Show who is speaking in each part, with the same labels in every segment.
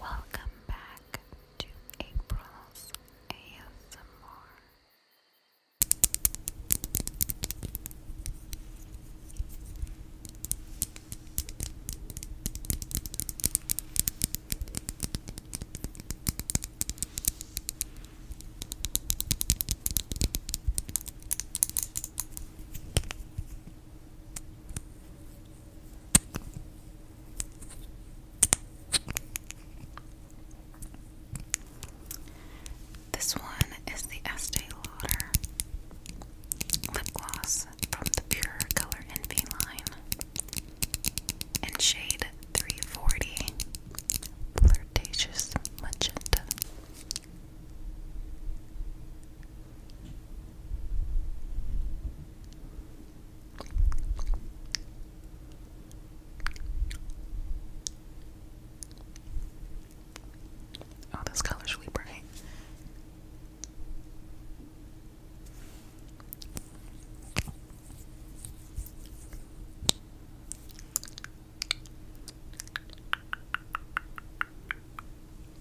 Speaker 1: Welcome back to April's ASMR. This one is the Estee Lauder lip gloss from the Pure Color Envy line in shade 340 Flirtatious Magenta.
Speaker 2: Oh, this color's really bright.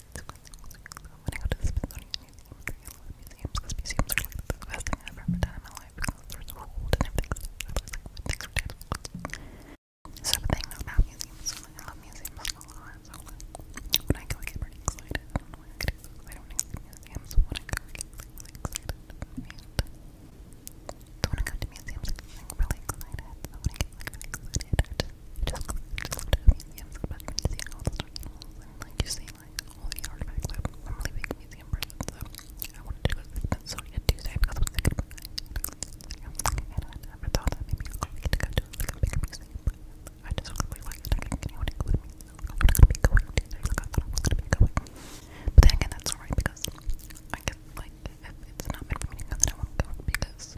Speaker 3: When I go to the Smithsonian Museum, I love museums because museums are like the best thing I've ever done in my life because they so old and everything's so like, so the about museums, I love museums a lot, when I go I get pretty excited, I don't know why I get to go I get really excited, and so when go to museums I get really excited, just just looked at a museum so back and all the certain and like you see like all the artifacts that I'm a really museum person so I wanted to go to Tuesday because I was thinking about I never thought I would get to go to a big museum I just really I did gonna be going I thought I was gonna be going but then again that's alright because I guess like if it's not meant for me then I won't go because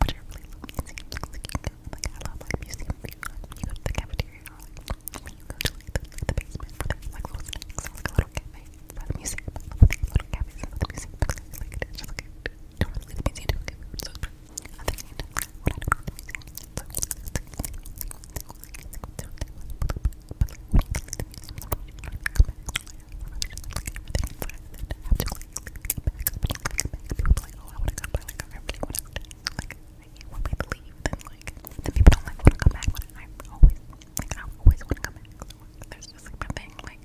Speaker 3: but you're really low museum looks like you go, like, I love, like, museum views, like, when you go to the cafeteria, or, like, when you go to, like, the, like, the basement, where there's, like, little snacks, or, like, a little cafe inside the museum, I love these little cafes inside the museum, because I feel like it is just, like, I don't really the museum, don't get food, so it's pretty, I think I need to, when I don't go to the museum, so, like, it's, like, it's, like, it's, like, it's, like, but, like, when you go to the museum, like, you don't really think about it, like, I really just, like, everything inside, and then have to, like, People like, oh, I want to come back. Like, I really want to. Like, when we leave, then like, then people don't like want to come back. But I always, like, I always want to come back. So, there's just like my thing. Like,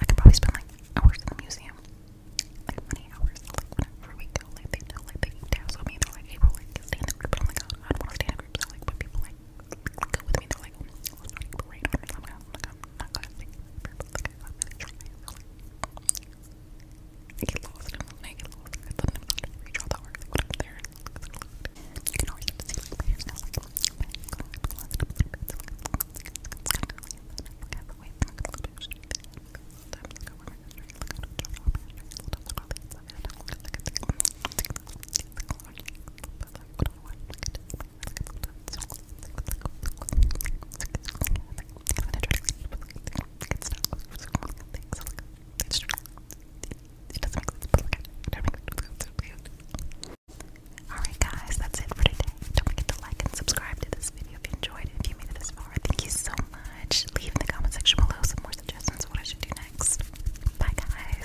Speaker 3: I could probably spend like hours in the museum, like many hours. Like, whenever we go, like they know, like they dazzle me. They're like, hey, we're like stay in the group. I'm like, oh, I don't want to stay in the group. So like, when people like go with me, they're like, oh, let's not parade on or something. I'm like, I'm not gonna stay. Like, guys, I'm really trying, really. I get lost, I'm lonely, I get lost, I get something I'm not reach all that work, like, when I'm there, you can always see, like, my hair's now, like, I'm lost, I'm lost, I Alright, guys, that's it for today. Don't forget to like and subscribe to this video if you enjoyed it. If you made it this far, thank you so much. Leave in the comment section below some more suggestions of what I should do next. Bye, guys.